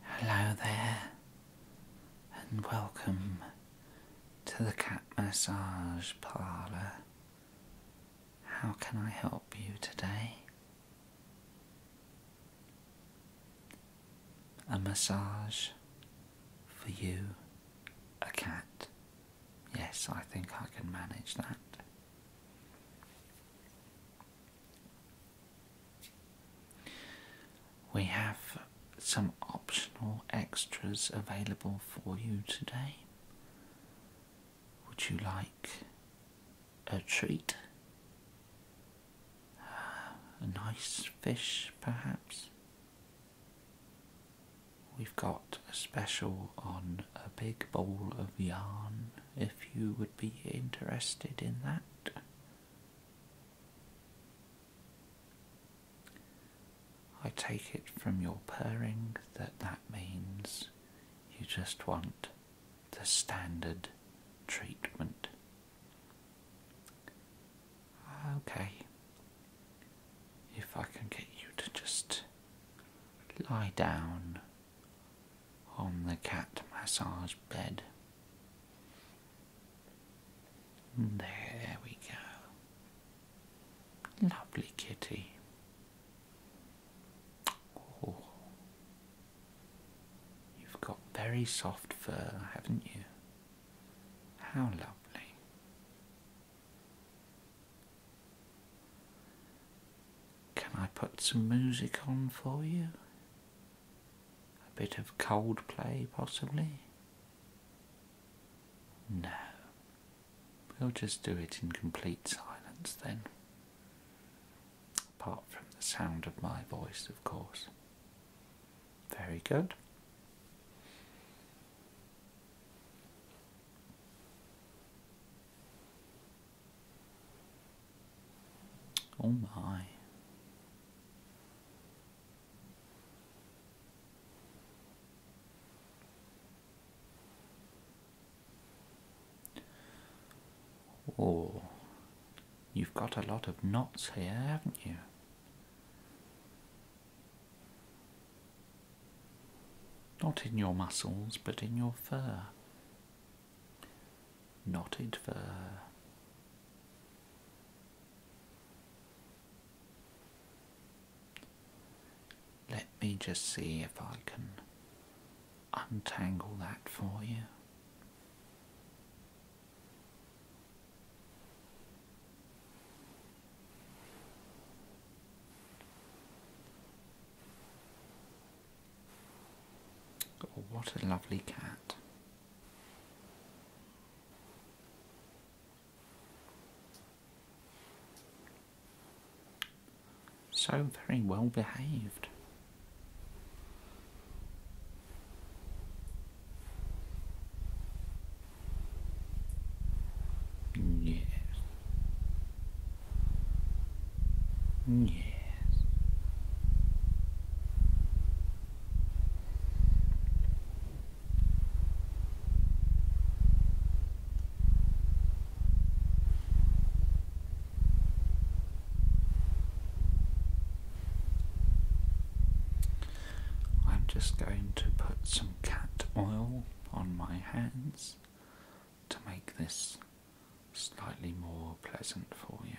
Hello there, and welcome to the Cat Massage Parlour. How can I help you today? A massage for you, a cat. Yes, I think I can manage that. We have some optional extras available for you today. Would you like a treat? a nice fish, perhaps? We've got a special on a big bowl of yarn if you would be interested in that. I take it from your purring that that means you just want the standard treatment. Okay, if I can get you to just lie down on the cat massage bed. There we go. Lovely kitty. Oh. You've got very soft fur, haven't you? How lovely. Can I put some music on for you? A bit of Coldplay, possibly? No. We'll just do it in complete silence then. Apart from the sound of my voice, of course. Very good. Oh my. Oh, you've got a lot of knots here, haven't you? Not in your muscles, but in your fur knotted for Let me just see if I can untangle that for you. Oh, what a lovely cat. So very well behaved. Yes. Yes. I'm just going to put some cat oil on my hands to make this slightly more pleasant for you.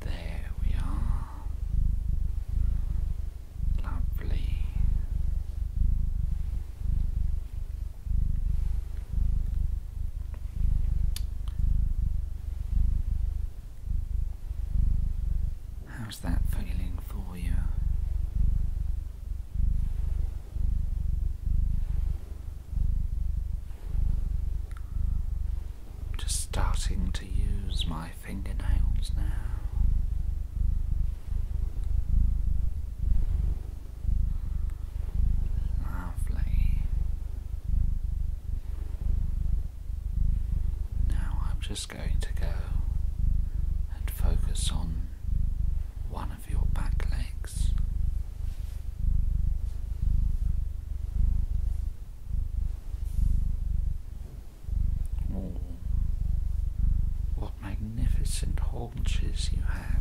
There we are. Lovely. How's that feeling for you? just starting to use my fingernails now. Lovely. Now I'm just going to go and focus on one of your back legs. Oh, what magnificent haunches you have!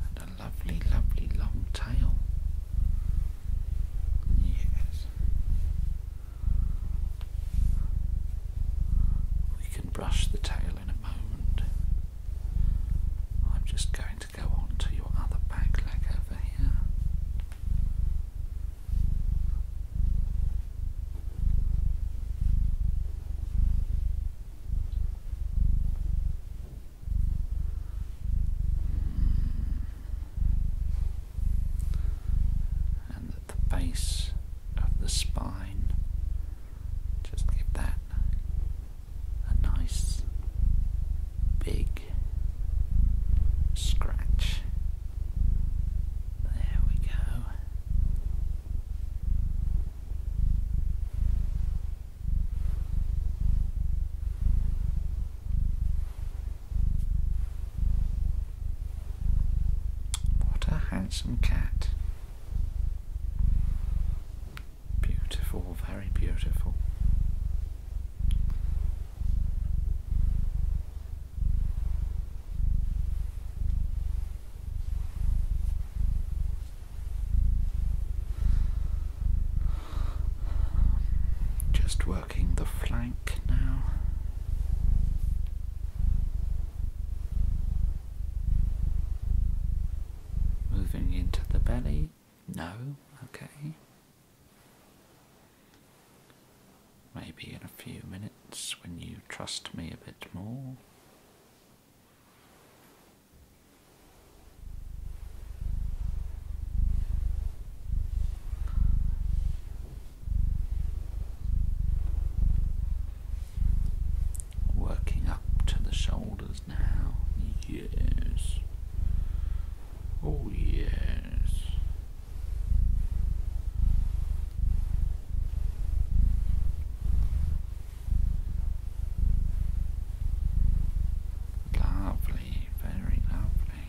And a lovely, lovely long tail. Yes. We can brush the tail in a moment. I'm just going to go on to your other back leg over here and at the base of the spine, just give that a nice big scratch. There we go. What a handsome cat. Beautiful, very beautiful. Just working the flank now. Moving into the belly? No, okay. Maybe in a few minutes when you trust me a bit more. Working up to the shoulders now. Yes. Oh, yes. Lovely, very lovely.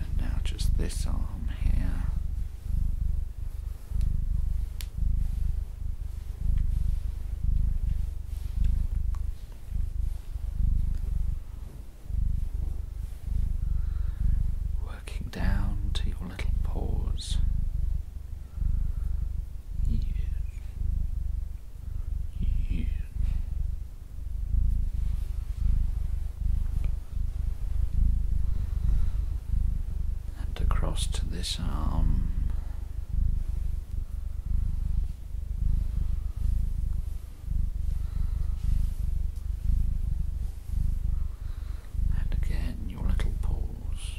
And now just this arm here working down to your little paws. And across to this arm. And again, your little pause.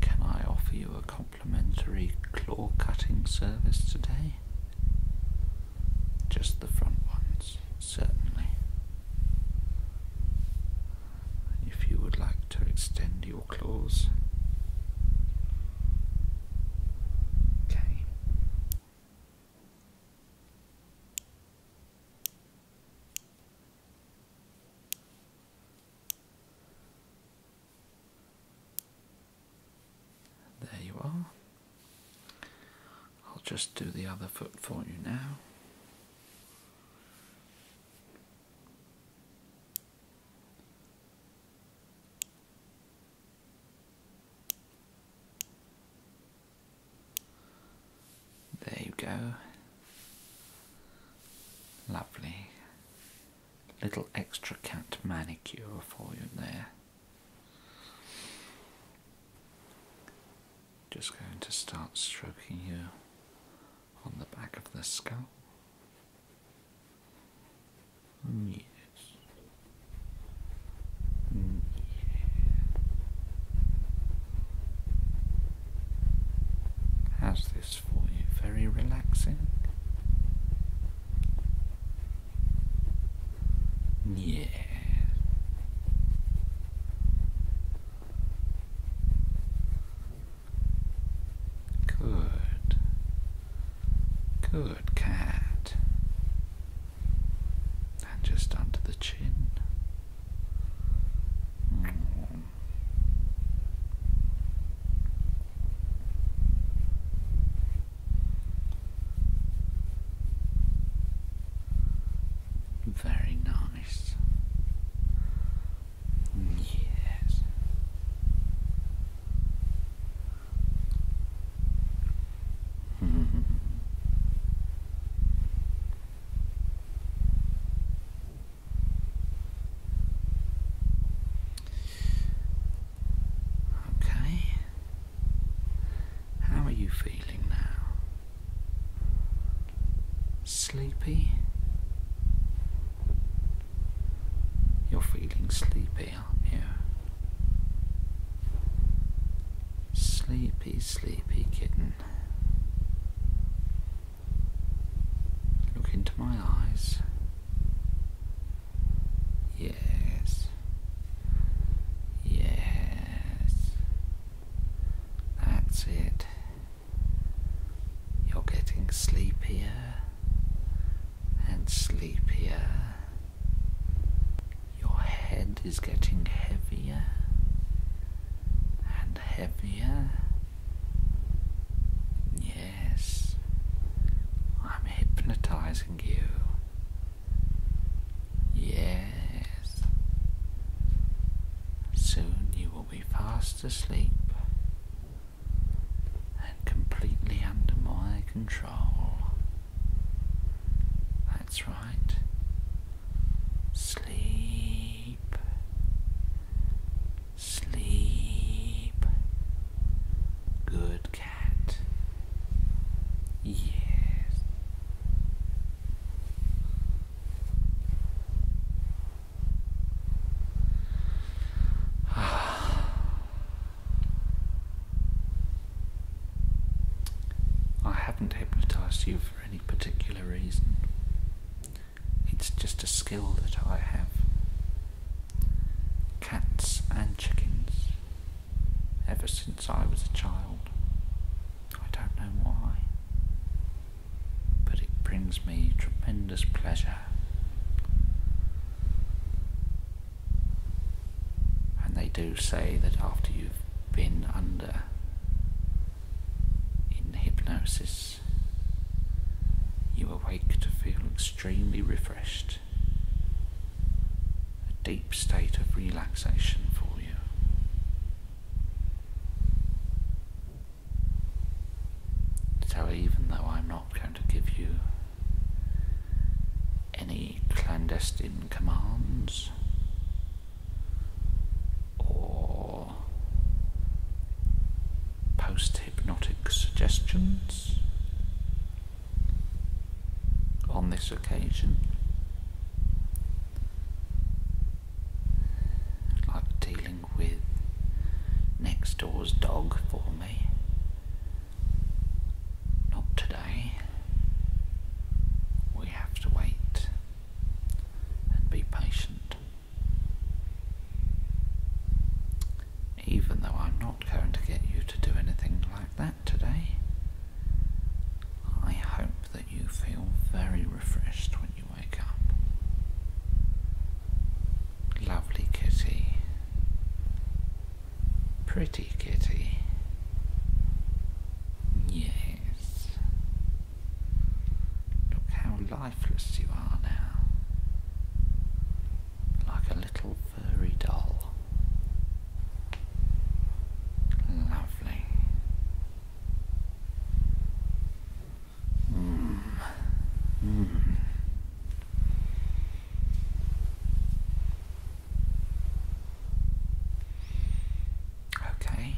Can I offer you a complimentary claw cutting service today? Just the front ones, certainly. If you would like to extend your claws, there you are. I'll just do the other foot for you now. There you go. Lovely. Little extra cat manicure for you there. Just going to start stroking you on the back of the skull. Yes. How's this for you? Very relaxing? Yeah. Good. Good cat. And just under the chin. Mm. Very nice. Mm. Yes okay. How are you feeling now? Sleepy? You're feeling sleepy. Sleepy, sleepy kitten. Look into my eyes. Yes. Yes. That's it. You're getting sleepier and sleepier. Your head is getting heavier and heavier. Yes, I'm hypnotizing you. Yes, soon you will be fast asleep and completely under my control. That's right. Sleep. Sleep. Good cat. Yes. I haven't hypnotized you for any particular reason. It's just a skill that I have. Cats and chickens. Ever since I was a child. I don't know why. But it brings me tremendous pleasure. And they do say that after you've been under in hypnosis, you awake to feel extremely refreshed, a deep state of relaxation for you. So even though I'm not going to give you any clandestine commands or post-hypnotic suggestions on this occasion, like dealing with next door's dog for me. Not today. We have to wait and be patient. Even though I'm not going to get you to do anything like that today, I hope that you feel very refreshed when you wake up. Lovely kitty. Pretty kitty. Yes. Look how lifeless you are now. Like a little furry doll. Lovely. Okay.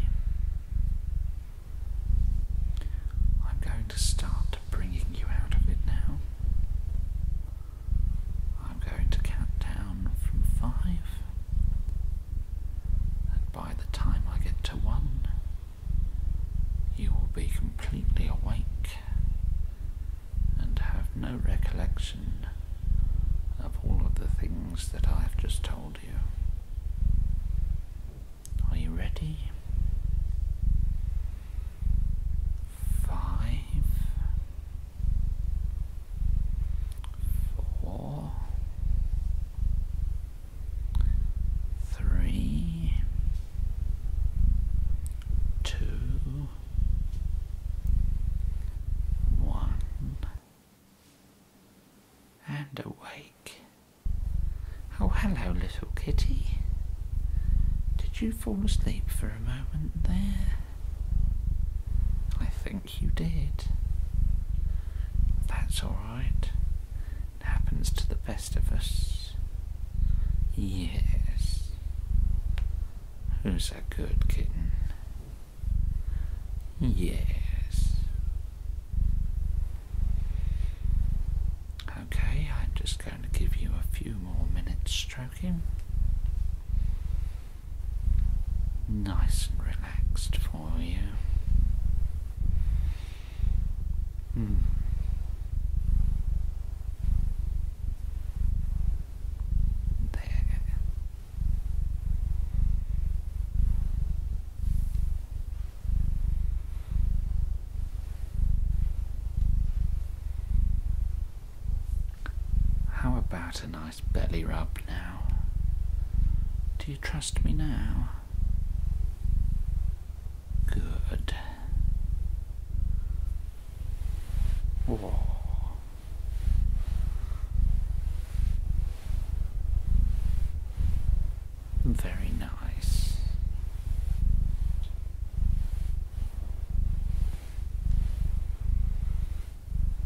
I'm going to start bringing you out of it now. I'm going to count down from five, and by the time I get to one, you will be completely awake and have no recollection of all of the things that I have just told you. Are you ready? Five, four, three, two, one, and awake. Oh, hello, little kitty. Did you fall asleep for a moment there? I think you did. That's all right happens to the best of us. Yes. Who's a good kitten? Yes. Okay, I'm just going to give you a few more minutes stroking. Nice and relaxed for you. Hmm. There. How about a nice belly rub now? Do you trust me now? Good. Whoa. Very nice.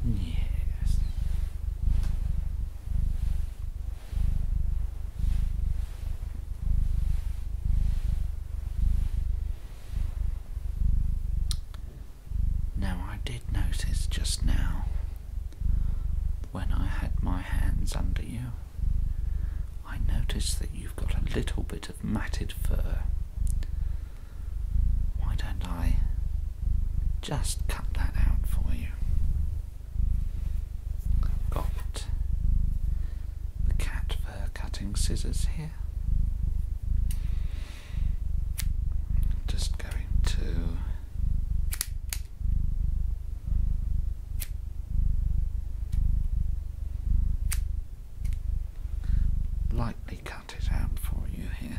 Yes. Now, I did notice just now when I had my hands under you, I noticed that you've got a little bit of matted fur. Why don't I just cut that out for you? Got the cat fur cutting scissors here. Just going to lightly cut it out for you here.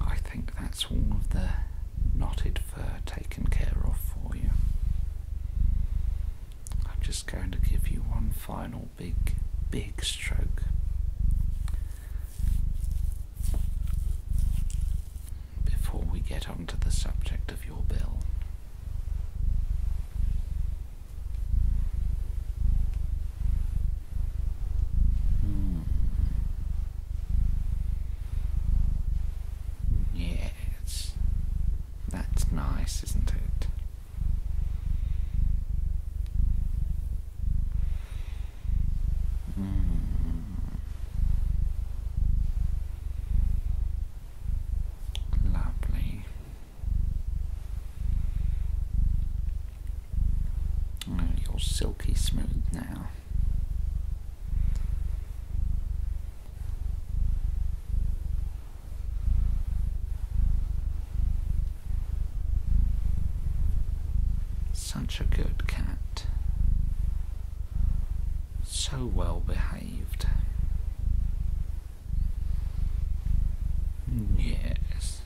I think that's all of the knotted fur taken care of for you. I'm just going to give you one final big, big stroke. Before we get onto the subject of your bill, Hmm. Yes, that's nice, isn't it? Hmm. Lovely. Oh, you're silky smooth now. Such a good cat. So well behaved. Yes.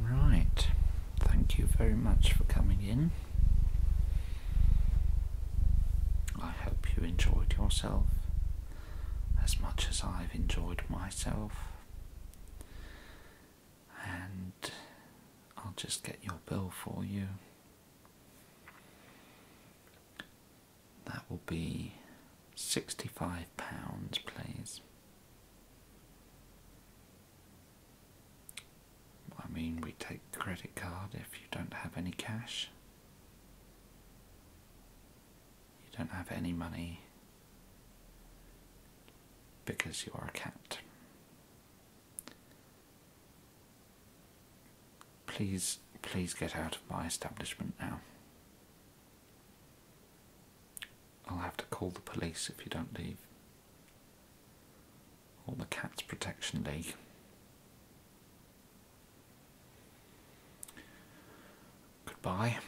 Right, thank you very much for coming in. I hope you enjoyed yourself as much as I've enjoyed myself and I'll just get your bill for you. That will be £65, please. I mean, we take credit card if you don't have any cash. You don't have any money because you are a cat. Please, please get out of my establishment now. I'll have to call the police if you don't leave. Or the Cats Protection League. Goodbye.